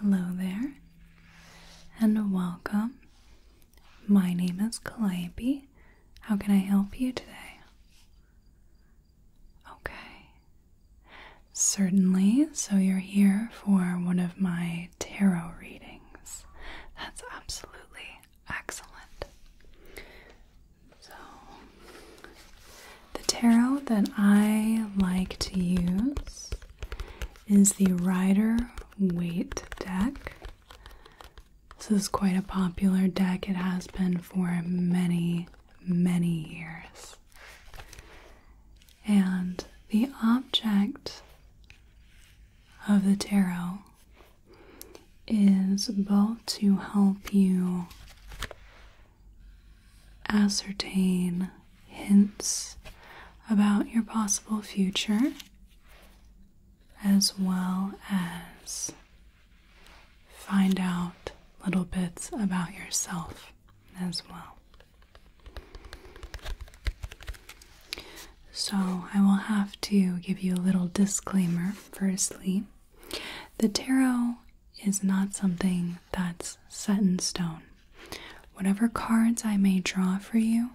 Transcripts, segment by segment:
Hello there, and welcome my name is Calliope. How can I help you today? Okay. Certainly. So you're here for one of my tarot readings. That's absolutely excellent. So, the tarot that I like to use is the Rider Waite deck. This is quite a popular deck. It has been for many, many years. And the object of the tarot is both to help you ascertain hints about your possible future as well as find out little bits about yourself as well. So, I will have to give you a little disclaimer firstly. The tarot is not something that's set in stone. Whatever cards I may draw for you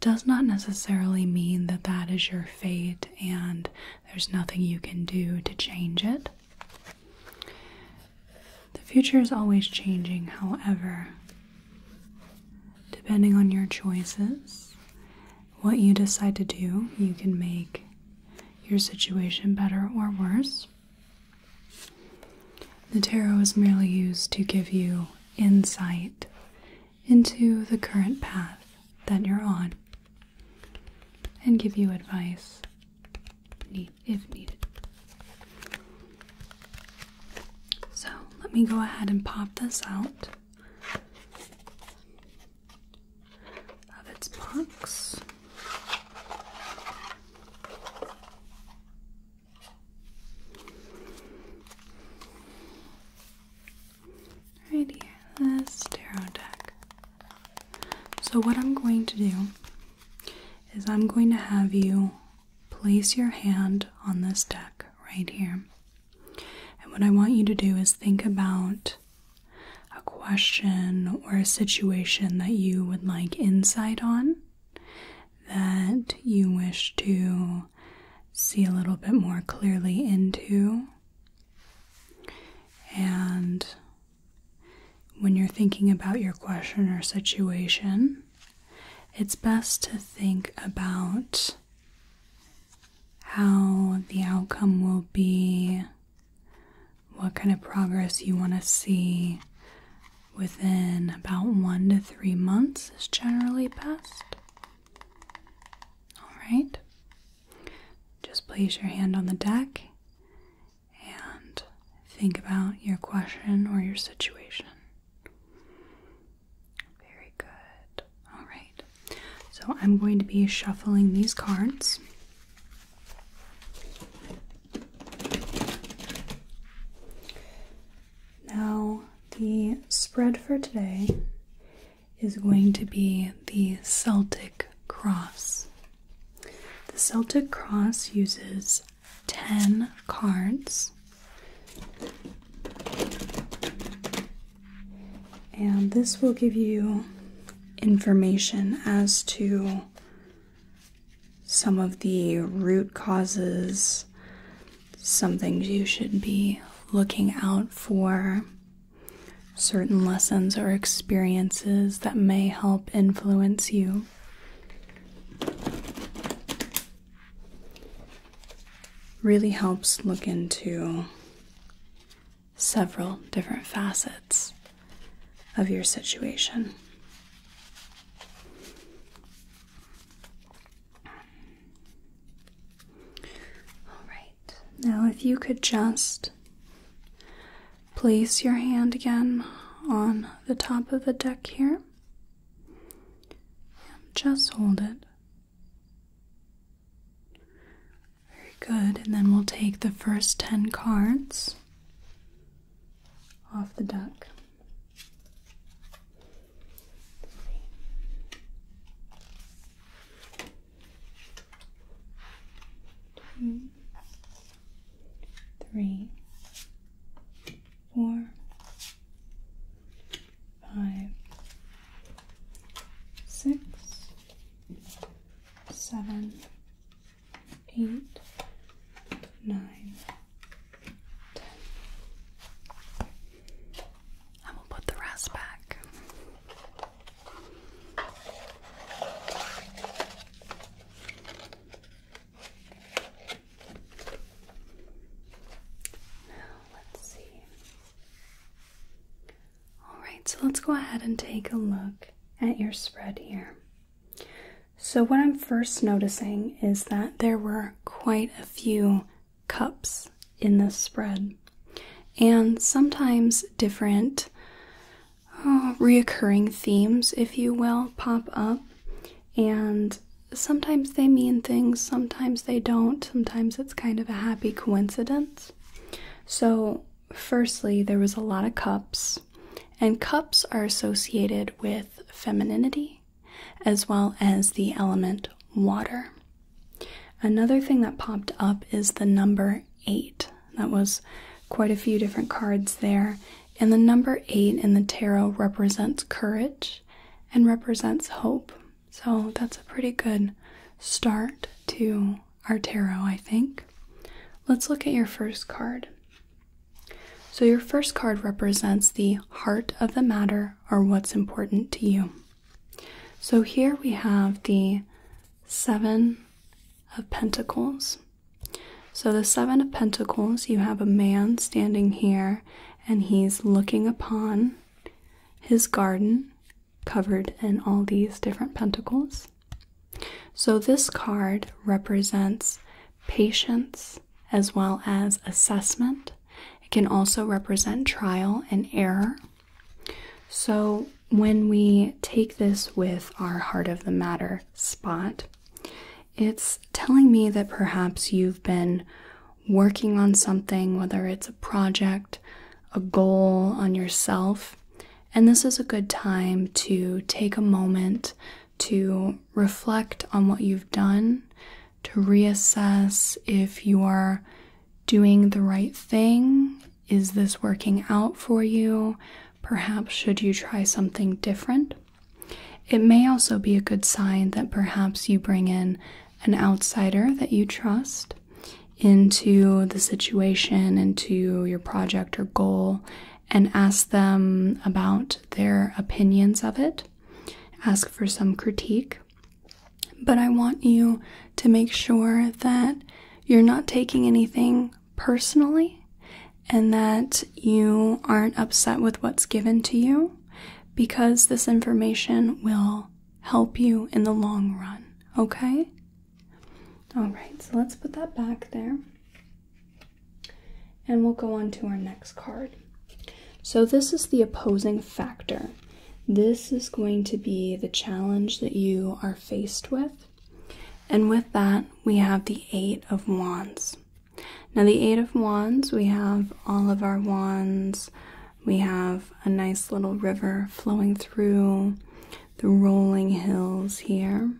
does not necessarily mean that that is your fate and there's nothing you can do to change it. The future is always changing, however, depending on your choices, what you decide to do, you can make your situation better or worse. The tarot is merely used to give you insight into the current path that you're on and give you advice if needed. So let me go ahead and pop this out of its box. Right here, this tarot deck. So, what I'm going to do is I'm going to have you place your hand on this deck right here. And what I want you to do is think about a question or a situation that you would like insight on that you wish to see a little bit more clearly into. And when you're thinking about your question or situation, it's best to think about how the outcome will be, what kind of progress you want to see within about one to three months is generally best. Alright, just place your hand on the deck and think about your question or your situation. Very good. Alright, so I'm going to be shuffling these cards. Now, the spread for today is going to be the Celtic Cross. The Celtic Cross uses 10 cards. And this will give you information as to some of the root causes some things you should be looking out for, certain lessons or experiences that may help influence you. Really helps look into several different facets of your situation. All right. Now, if you could just place your hand again on the top of the deck here. Just hold it. Very good. And then we'll take the first 10 cards off the deck. Two, three, four, five, six, seven, eight, nine, ten. will put the rest back. Now, let's see. Alright, so let's go ahead and take a look at your spread here. So, what I'm first noticing is that there were quite a few cups in this spread, and sometimes different oh, reoccurring themes, if you will, pop up. And sometimes they mean things, sometimes they don't, sometimes it's kind of a happy coincidence. So, firstly, there was a lot of cups, and cups are associated with femininity as well as the element water. Another thing that popped up is the number 8. That was quite a few different cards there. And the number 8 in the tarot represents courage and represents hope. So that's a pretty good start to our tarot, I think. Let's look at your first card. So, your first card represents the heart of the matter matter or what's important to you. So here we have the Seven of Pentacles. So, the Seven of Pentacles, you have a man standing here and he's looking upon his garden covered in all these different pentacles. So, this card represents patience as well as assessment. It can also represent trial and error. So, when we take this with our heart of the matter spot, it's telling me that perhaps you've been working on something, whether it's a project, a goal on yourself, and this is a good time to take a moment to reflect on what you've done, to reassess if you are doing the right thing. Is this working out for you? Perhaps should you try something different? It may also be a good sign that perhaps you bring in an outsider that you trust into the situation, into your project or goal, and ask them about their opinions of it. Ask for some critique. But I want you to make sure that you're not taking anything personally and that you aren't upset with what's given to you because this information will help you in the long run, okay? All right, so let's put that back there. And we'll go on to our next card. So, this is the opposing factor. This is going to be the challenge that you are faced with. And with that, we have the Eight of Wands. Now, the Eight of Wands, we have all of our wands, we have a nice little river flowing through the rolling hills here.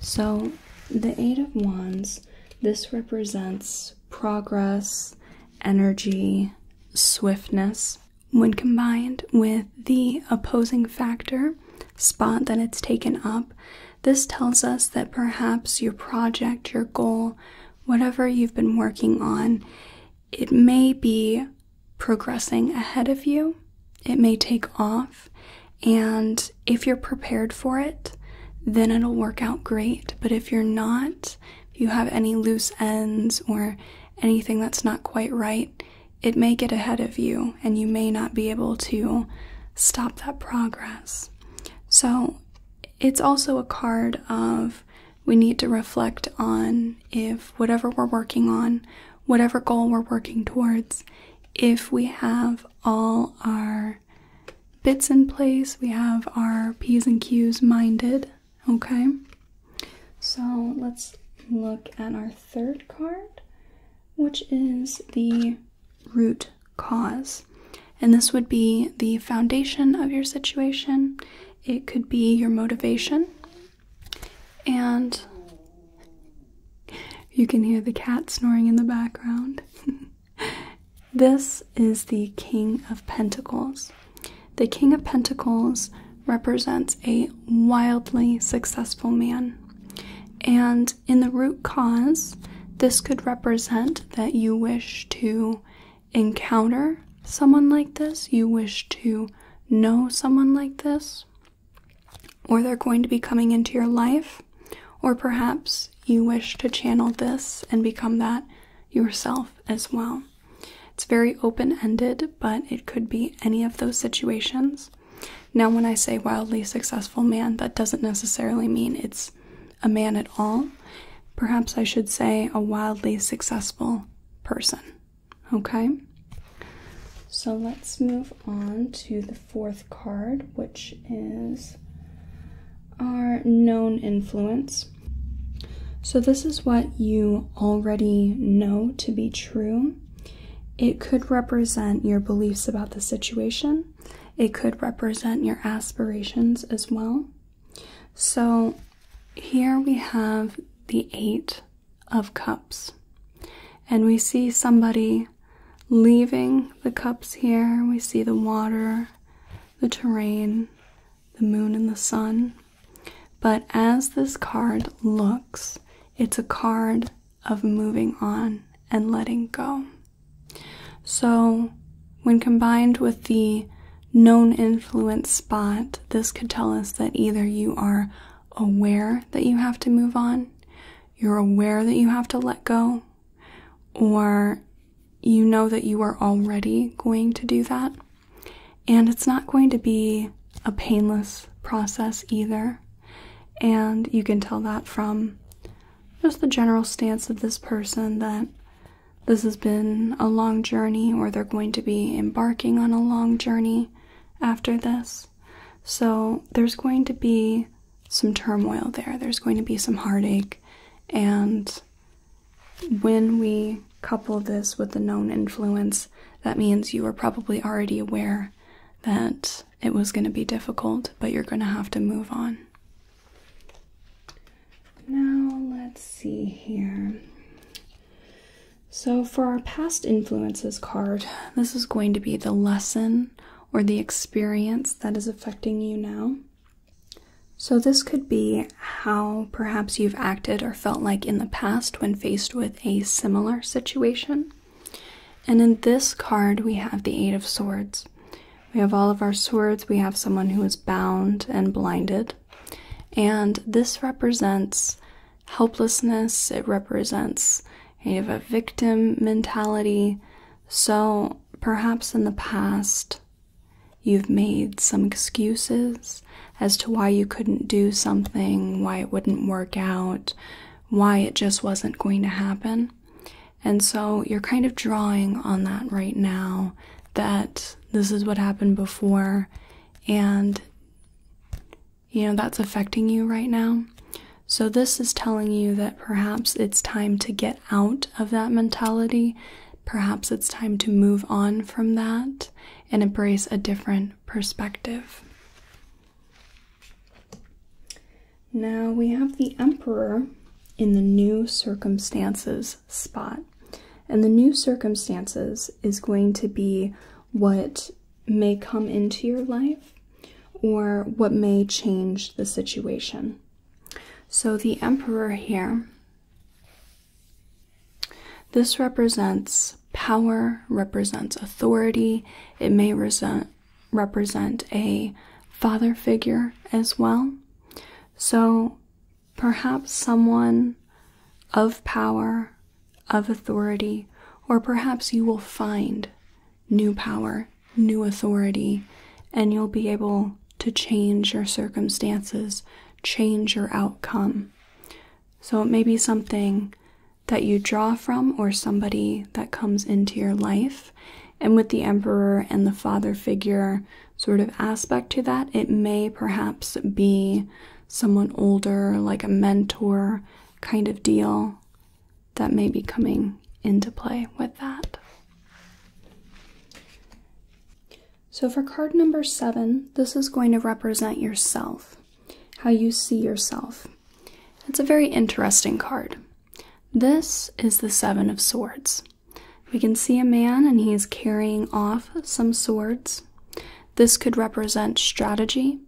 So, the Eight of Wands, this represents progress, energy, swiftness. When combined with the opposing factor, spot that it's taken up, this tells us that perhaps your project, your goal, whatever you've been working on, it may be progressing ahead of you. It may take off. And if you're prepared for it, then it'll work out great. But if you're not, if you have any loose ends or anything that's not quite right, it may get ahead of you and you may not be able to stop that progress. So it's also a card of we need to reflect on if whatever we're working on, whatever goal we're working towards, if we have all our bits in place, we have our P's and Q's minded, okay? So let's look at our third card, which is the root cause. And this would be the foundation of your situation, it could be your motivation, and you can hear the cat snoring in the background. this is the King of Pentacles. The King of Pentacles represents a wildly successful man. And in the root cause, this could represent that you wish to encounter someone like this, you wish to know someone like this, or they're going to be coming into your life, or perhaps you wish to channel this and become that yourself as well. It's very open ended, but it could be any of those situations. Now, when I say wildly successful man, that doesn't necessarily mean it's a man at all. Perhaps I should say a wildly successful person. Okay? So let's move on to the fourth card, which is are known influence. So, this is what you already know to be true. It could represent your beliefs about the situation, it could represent your aspirations as well. So, here we have the Eight of Cups, and we see somebody leaving the cups here, we see the water the terrain, the moon, and the sun. But as this card looks, it's a card of moving on and letting go. So, when combined with the known influence spot, this could tell us that either you are aware that you have to move on, you're aware that you have to let go, or you know that you are already going to do that. And it's not going to be a painless process either. And you can tell that from just the general stance of this person that this has been a long journey or they're going to be embarking on a long journey after this. So there's going to be some turmoil there. There's going to be some heartache. And when we couple this with the known influence, that means you are probably already aware that it was going to be difficult, but you're going to have to move on. Now, let's see here. So, for our past influences card, this is going to be the lesson or the experience that is affecting you now. So, this could be how perhaps you've acted or felt like in the past when faced with a similar situation. And in this card, we have the Eight of Swords. We have all of our swords, we have someone who is bound and blinded. And this represents helplessness, it represents kind of a victim mentality. So, perhaps in the past, You've made some excuses as to why you couldn't do something, why it wouldn't work out, why it just wasn't going to happen. And so you're kind of drawing on that right now that this is what happened before, and you know that's affecting you right now. So, this is telling you that perhaps it's time to get out of that mentality, perhaps it's time to move on from that and embrace a different perspective. Now we have the Emperor in the New Circumstances spot. And the New Circumstances is going to be what may come into your life or what may change the situation. So the Emperor here, this represents power, represents authority, it may resent, represent a father figure as well. So perhaps someone of power, of authority, or perhaps you will find new power new authority, and you'll be able to change your circumstances, change your outcome. So it may be something that you draw from or somebody that comes into your life. And with the emperor and the father figure sort of aspect to that, it may perhaps be someone older, like a mentor kind of deal, that may be coming into play with that. So for card number seven, this is going to represent yourself, how you see yourself. It's a very interesting card. This is the Seven of Swords. We can see a man and he is carrying off some swords. This could represent strategy.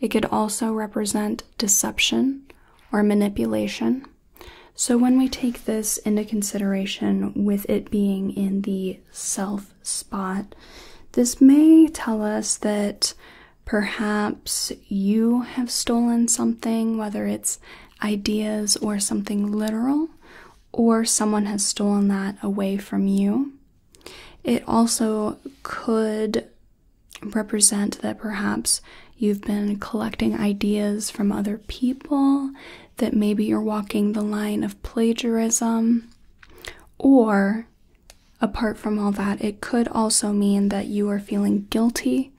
It could also represent deception or manipulation. So, when we take this into consideration with it being in the self spot, this may tell us that perhaps you have stolen something, whether it's ideas or something literal, or someone has stolen that away from you. It also could represent that perhaps You've been collecting ideas from other people that maybe you're walking the line of plagiarism. Or, apart from all that, it could also mean that you are feeling guilty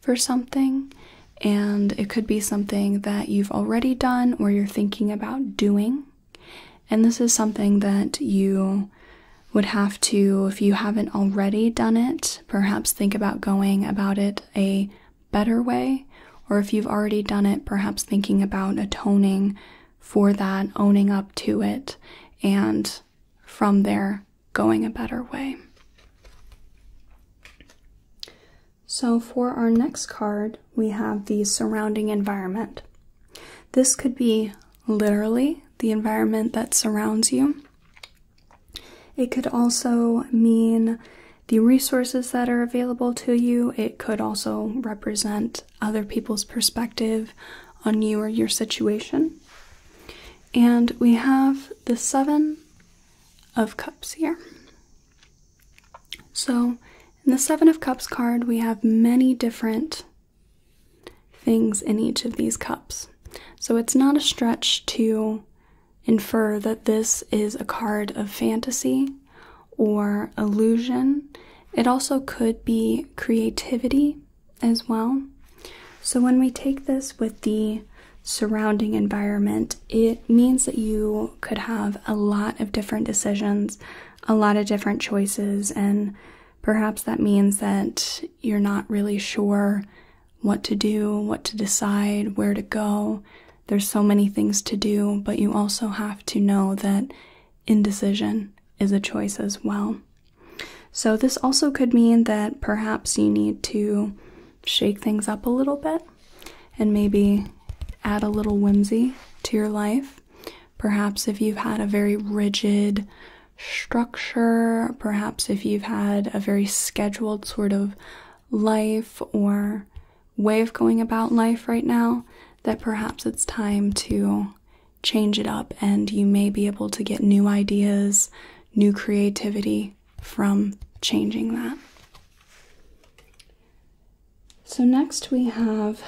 for something, and it could be something that you've already done or you're thinking about doing. And this is something that you would have to, if you haven't already done it, perhaps think about going about it a better way. Or if you've already done it, perhaps thinking about atoning for that, owning up to it, and from there going a better way. So, for our next card, we have the surrounding environment. This could be literally the environment that surrounds you, it could also mean the resources that are available to you. It could also represent other people's perspective on you or your situation. And we have the Seven of Cups here. So, in the Seven of Cups card, we have many different things in each of these cups. So, it's not a stretch to infer that this is a card of fantasy or illusion. It also could be creativity as well. So, when we take this with the surrounding environment, it means that you could have a lot of different decisions, a lot of different choices, and perhaps that means that you're not really sure what to do, what to decide, where to go. There's so many things to do, but you also have to know that indecision is a choice as well. So, this also could mean that perhaps you need to shake things up a little bit and maybe add a little whimsy to your life. Perhaps if you've had a very rigid structure, perhaps if you've had a very scheduled sort of life or way of going about life right now, that perhaps it's time to change it up and you may be able to get new ideas, new creativity from changing that. So, next we have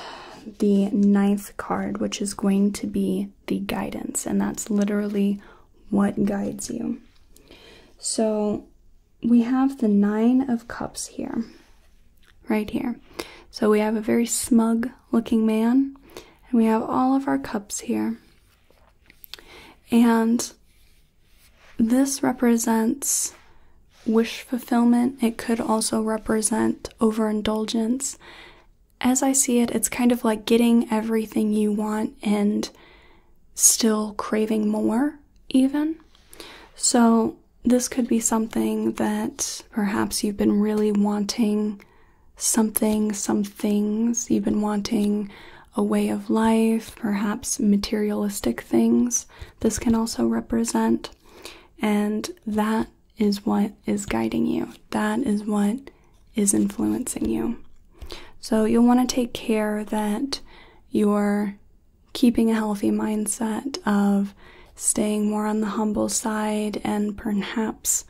the ninth card, which is going to be the guidance, and that's literally what guides you. So we have the Nine of Cups here, right here. So we have a very smug looking man, and we have all of our cups here. And this represents wish fulfillment. It could also represent overindulgence. As I see it, it's kind of like getting everything you want and still craving more, even. So, this could be something that perhaps you've been really wanting something, some things. You've been wanting a way of life, perhaps materialistic things. This can also represent. And that is what is guiding you. That is what is influencing you. So you'll want to take care that you're keeping a healthy mindset of staying more on the humble side and perhaps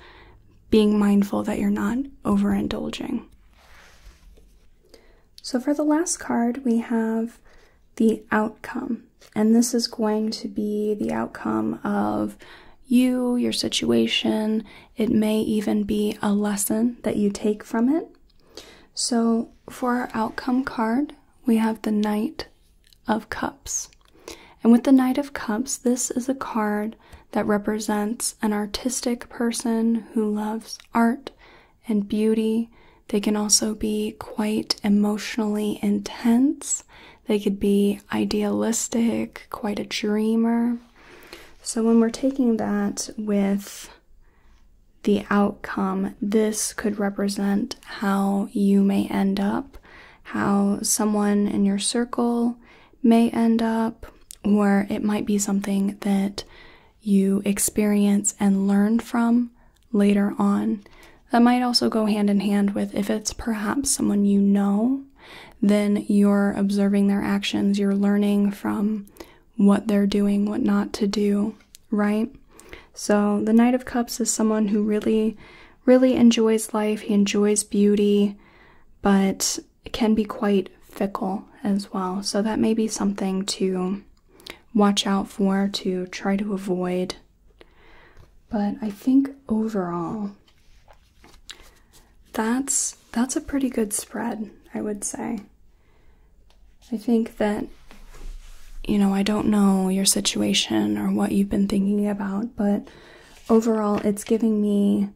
being mindful that you're not overindulging. So for the last card, we have the outcome. And this is going to be the outcome of you, your situation, it may even be a lesson that you take from it. So, for our outcome card, we have the Knight of Cups. And with the Knight of Cups, this is a card that represents an artistic person who loves art and beauty. They can also be quite emotionally intense. They could be idealistic, quite a dreamer. So when we're taking that with the outcome, this could represent how you may end up, how someone in your circle may end up, or it might be something that you experience and learn from later on. That might also go hand in hand with if it's perhaps someone you know then you're observing their actions, you're learning from what they're doing, what not to do, right? So, the Knight of Cups is someone who really, really enjoys life, he enjoys beauty, but can be quite fickle as well. So, that may be something to watch out for, to try to avoid. But I think overall, that's that's a pretty good spread, I would say. I think that you know, I don't know your situation or what you've been thinking about, but overall it's giving me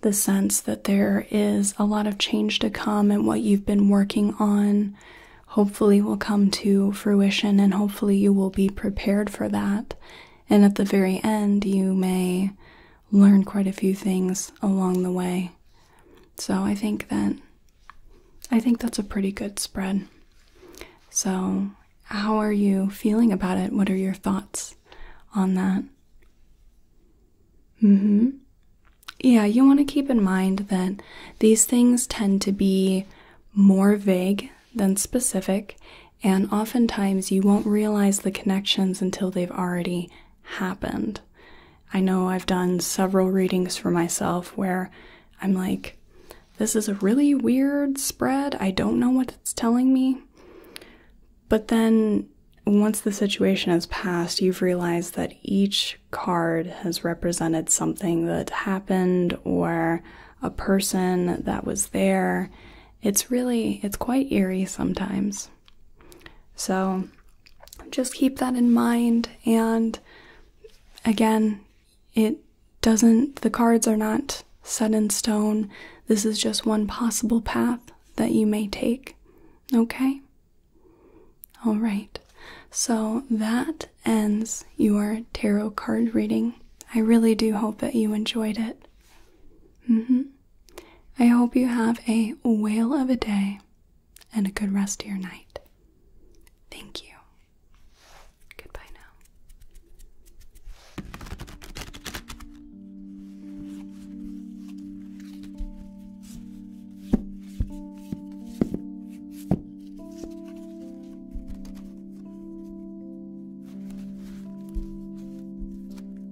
the sense that there is a lot of change to come and what you've been working on hopefully will come to fruition and hopefully you will be prepared for that. And at the very end, you may learn quite a few things along the way. So I think that I think that's a pretty good spread. So, how are you feeling about it? What are your thoughts on that? Mm hmm. Yeah, you want to keep in mind that these things tend to be more vague than specific, and oftentimes you won't realize the connections until they've already happened. I know I've done several readings for myself where I'm like, this is a really weird spread. I don't know what it's telling me. But then once the situation has passed, you've realized that each card has represented something that happened or a person that was there. It's really, it's quite eerie sometimes. So just keep that in mind. And again, it doesn't, the cards are not set in stone. This is just one possible path that you may take. Okay? All right. So that ends your tarot card reading. I really do hope that you enjoyed it. Mm-hmm. I hope you have a whale of a day and a good rest of your night. Thank you. Goodbye now.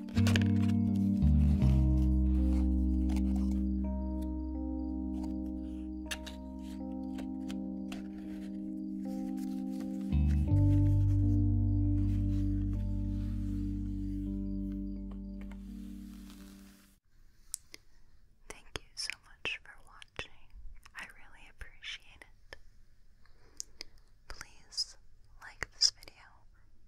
Thank you so much for watching. I really appreciate it. Please like this video,